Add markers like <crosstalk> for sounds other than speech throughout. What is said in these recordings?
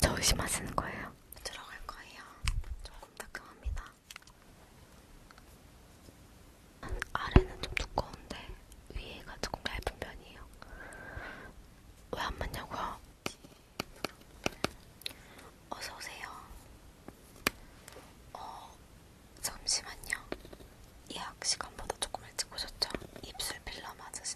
저으시마시는 거예요? 들어갈 거예요. 조금 따끔합니다. 아래는 좀 두꺼운데 위에가 조금 얇은 편이에요. 왜 안 맞냐고요? 어서 오세요. 어, 잠시만요. 예약 시간보다 조금 일찍 오셨죠? 입술 필러 맞으시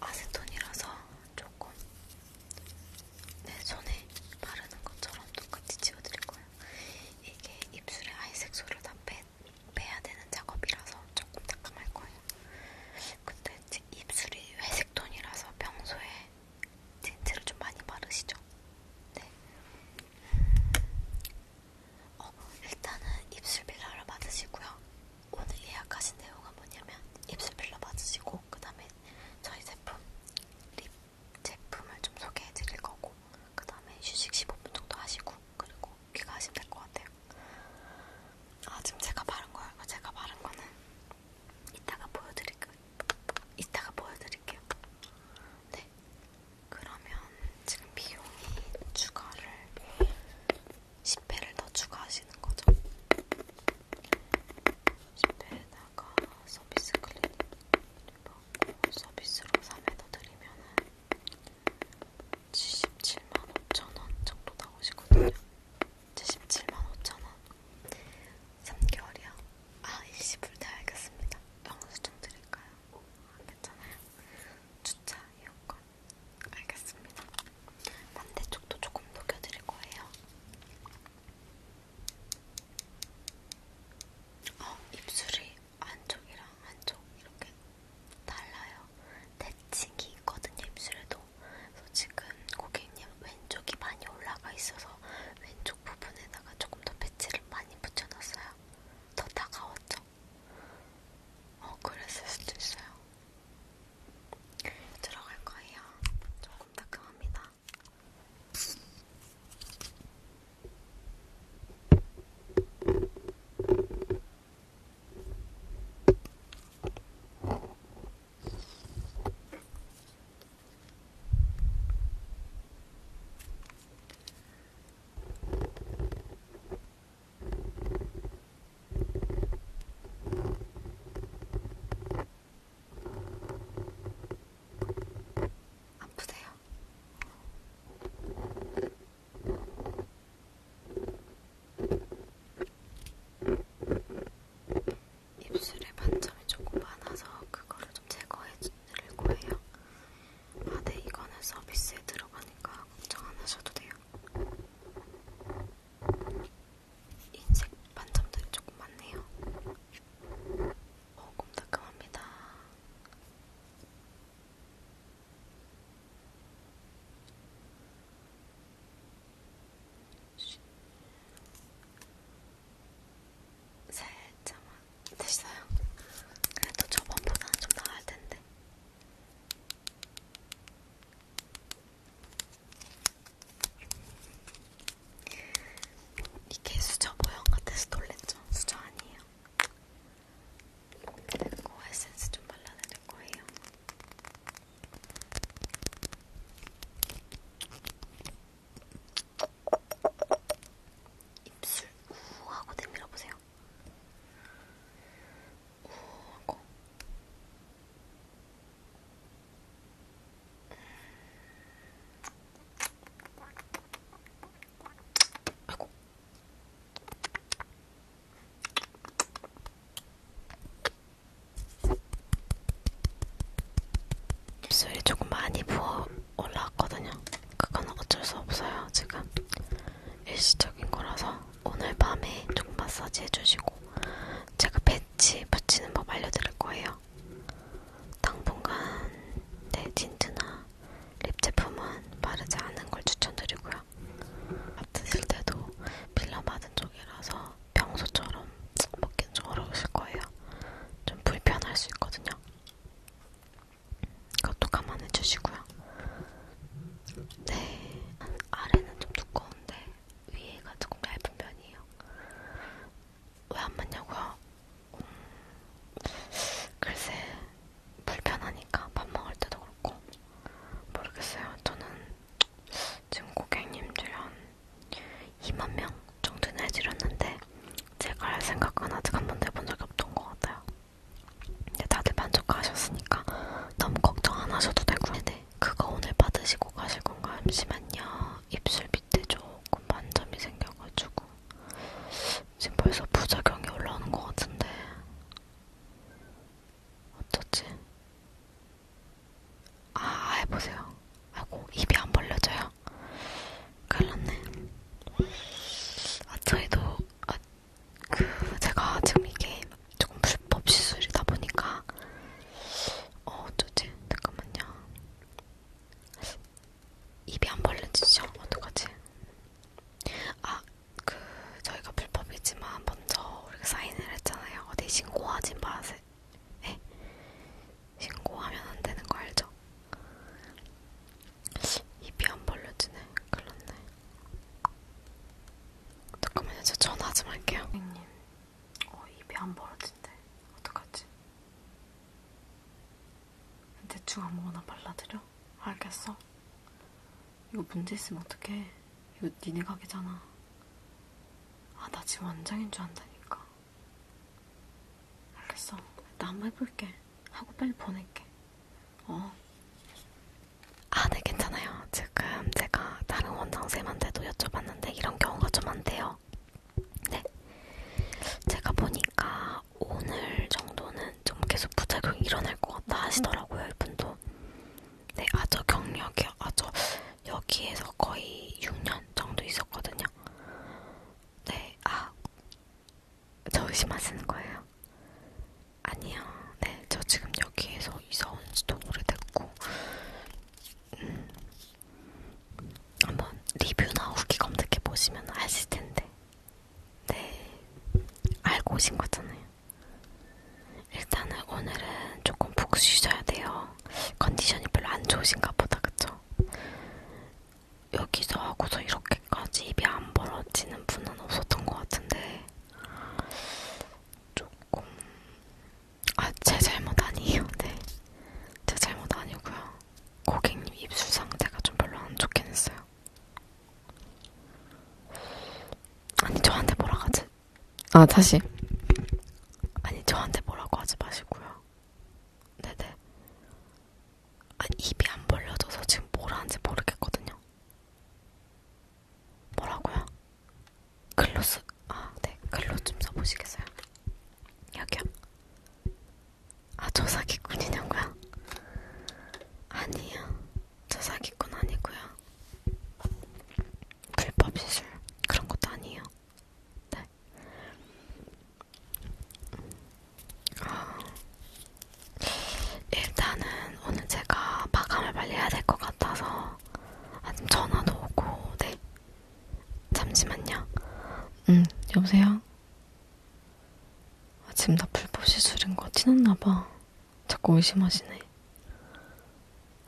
아세톤이라서 조금 내 손에 바르는 것처럼 똑같이 지워드릴 거예요. 이게 입술에 아이색소를 다 빼, 빼야 되는 작업이라서 조금 따끔할 거예요. 근데 제 입술이 회색 톤이라서 평소에 틴트를 좀 많이 바르시죠? 네. 어, 일단은 입술 필러를 받으시고요. 오늘 예약하신 내용은 뭐냐면 입술 필러 받으시고 그 다음에 저희 제품 립 제품을 좀 소개해 드릴 거고 그 다음에 휴식 15분 정도 하시고 그리고 귀가하시면 될 것 같아요. 아 지금 제가 바른 거예요. 제가 바른 거는 이따가 보여드릴게요. 이따가 보여드릴게요. 네. 그러면 지금 비용이 추가를 10회를 더 추가하시는 거죠? 10회에다가 서비스 클리닉 받고 서비스로 3회 더 드리면 77만 5천원 정도 나오시거든요. 77만 5천원 3개월이요? 아 일시불 다 알겠습니다. 영수증 드릴까요? 괜찮아요? 주차 이용권 알겠습니다. 반대쪽도 조금 녹여드릴 거예요. 어, 입술이 안쪽이랑 안쪽 이렇게 달라요. 대칭이 있거든요, 입술에도. 그래서 지금 고객님 왼쪽이 많이 올라가 있어서 왼쪽 부분에다가 조금 더 배치를 많이 붙여놨어요. 더 다가왔죠? 어, 그랬을 수도 있어요. 들어갈 거예요. 조금 따끔합니다. 어, 아프세요? 입술에 반점이 조금 많아서 그거를 좀 제거해 드릴 거예요. 아, 네, 이거는 서비스에 들어가니까 걱정 안 하셔도 돼요. 인색 반점들이 조금 많네요. 조금 어, 따끔합니다. 살짝만 됐어요. 그래도 저번보다는 좀 나을 텐데. 이게 수저 모형 같아서 놀랬죠? 수저 아니에요. 그리고 에센스 좀 발라드릴 거예요. 입술 우하고 내밀어 보세요. 우 하고 아고 입술이 조금 많이 부어 올라왔거든요. 그건 어쩔 수 없어요. 지금 일시적인 거라서 오늘 밤에 좀 마사지 해주시고 제가 배치 붙이는 법 알려드릴 거예요. 당분간 내 틴트나 립 제품은 바르지 않은 걸 추천드리고요. 밥 드실 때도 빌라 받은 쪽이라서 평소처럼 먹기는 좀 어려우실 거예요. 좀 불편할 수 있거든요. 그것도 감안해 주시고요. 네, 아래는 좀 두꺼운데 위에가 조금 얇은 편이에요. 왜 안 맞냐고요? 음, 글쎄 불편하니까 밥 먹을 때도 그렇고 모르겠어요. 저는 지금 고객님들 한 2만 명 정도는 해드렸는데 제가 할 생각은 아직 한 번도 해본 적이 없던 것 같아요. 근데 다들 만족하셨으니까 너무 걱정 안 하셔도 되고요. 네, 네, 그거 오늘 받으시고 가실 건가? 잠시만요. 입술 밑에 조금 반점이 생겨가지고 지금 벌써 부작용이 올라오는 것 같은데 어쩌지? 아, 아, 해보세요. 아이고, 입이 안 벌려져요. 큰일 났네. 아, 저희도, 아, 그 제가 지금 이게 조금 불법 시술이다 보니까 어 어쩌지? 잠깐만요. 입이 안 벌려지죠? 어떡하지? 아, 그 저희가 불법이지만 먼저 우리가 사인을 했잖아요. 어디 신고하지 마세요. 네? 신고하면 안 되는 거 알죠? 입이 안 벌려지네. 큰일났네. 잠깐만요. 저 전화 좀 할게요. 선생님. 어, 입이 안 벌어진대. 어떡하지? 대충 아무거나 발라드려? 알겠어. 이거 문제 있으면 어떡해. 이거 니네 가게잖아. 아, 나 지금 원장인 줄 안다니까. 알겠어. 나 한번 해볼게. 하고 빨리 보낼게. 어. 아, 네, 괜찮아요. 지금 제가 다른 원장쌤한테도 여쭤봤는데 이런 경우가 좀 많대요. 네. 제가 보니까 오늘 정도는 좀 계속 부작용이 일어날 것 같다 하시더라고요, 이분도. 네, 아, 저 경력이요. 아, 저 여기에서 거의 6년 정도 있었거든요. 네, 아, 저 의심하시는 거예요? 아니요. 네, 저 지금 여기에서 이사 온 지도 오래됐고, 음, 한번 리뷰나 후기 검색해 보시면 아실 텐데, 네, 알고 오신 거잖아요. 일단은 오늘은 조금 푹 쉬셔야 돼요. 컨디션이 별로 안 좋으신가 보다, 그쵸? 여기서 하고서 이렇게까지 입이 안 벌어지는 분은 없었던 것 같은데 조금 아제 잘못 아니에요. <laughs> 네, 제 잘못 아니고요. 고객님 입술 상태가 좀 별로 안 좋긴 했어요. 아니 저한테 뭐라고 하지? 아 다시 아니 저한테 뭐라고 하지 마시고요. 네네 아, 입이 안 벌려져서 지금 뭘 하는지 모르겠거든요. 뭐라고요? 글로 쓰, 아, 네, 글로 좀 써보시겠어요? 여기요? 아, 저 사기꾼 이냐고요? 아니요, 저 사기꾼 아니고요. 불법 시술 그런 것도 아니에요. 네. 일단은 오늘 제가 마감을 빨리 해야 될 것 같아서 아침 전화도 오고 네 잠시만요 음 여보세요 아, 지금 나 불법 시술인 거 티났나봐 자꾸 의심하시네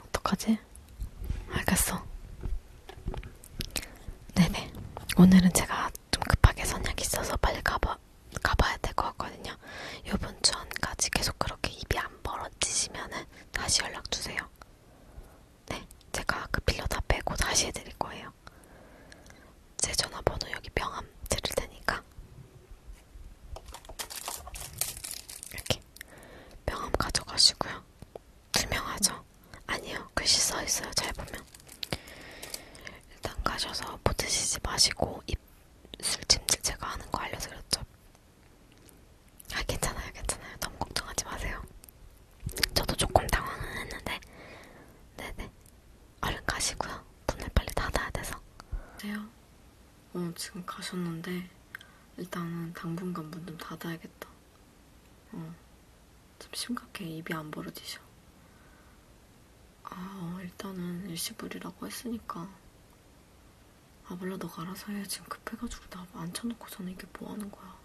어떡하지? 알겠어 네네 오늘은 제가 좀 급하게 선약이 있어서 빨리 가봐 가봐, 가봐야 될 것 같거든요. 요번 주까지 계속 그렇게 입이 안 벌어지시면은 다시 연락 주세요. 네, 제가 그 필러 다 빼고 다시 해드릴 거예요. 제 전화번호 여기 명함 드릴 테니까 이렇게 명함 가져가시고요. 투명하죠? 아니요, 글씨 써 있어요. 잘 보면 일단 가셔서 포트시지 마시고 입술 침질 제가 하는 거 알려드렸죠? 그렇죠. 아 괜찮아요 괜찮아요 너무 걱정하지 마세요 저도 조금 당황은 했는데 네네 얼른 가시고요 문을 빨리 닫아야 돼서 그래요? 네. 어 지금 가셨는데 일단은 당분간 문 좀 닫아야겠다 어좀 심각해. 입이 안 벌어지셔. 아, 어, 일단은 일시불이라고 했으니까. 아, 몰라, 너가 알아서 해. 지금 급해가지고 나 앉혀놓고 저는 이게 뭐 하는 거야.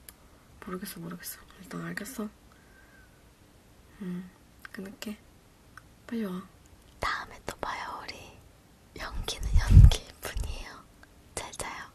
모르겠어, 모르겠어. 일단 알겠어. 응, 음, 끊을게. 빨리 와. 다음에 또 봐요, 우리. 연기는 연기일 뿐이에요. 잘 자요.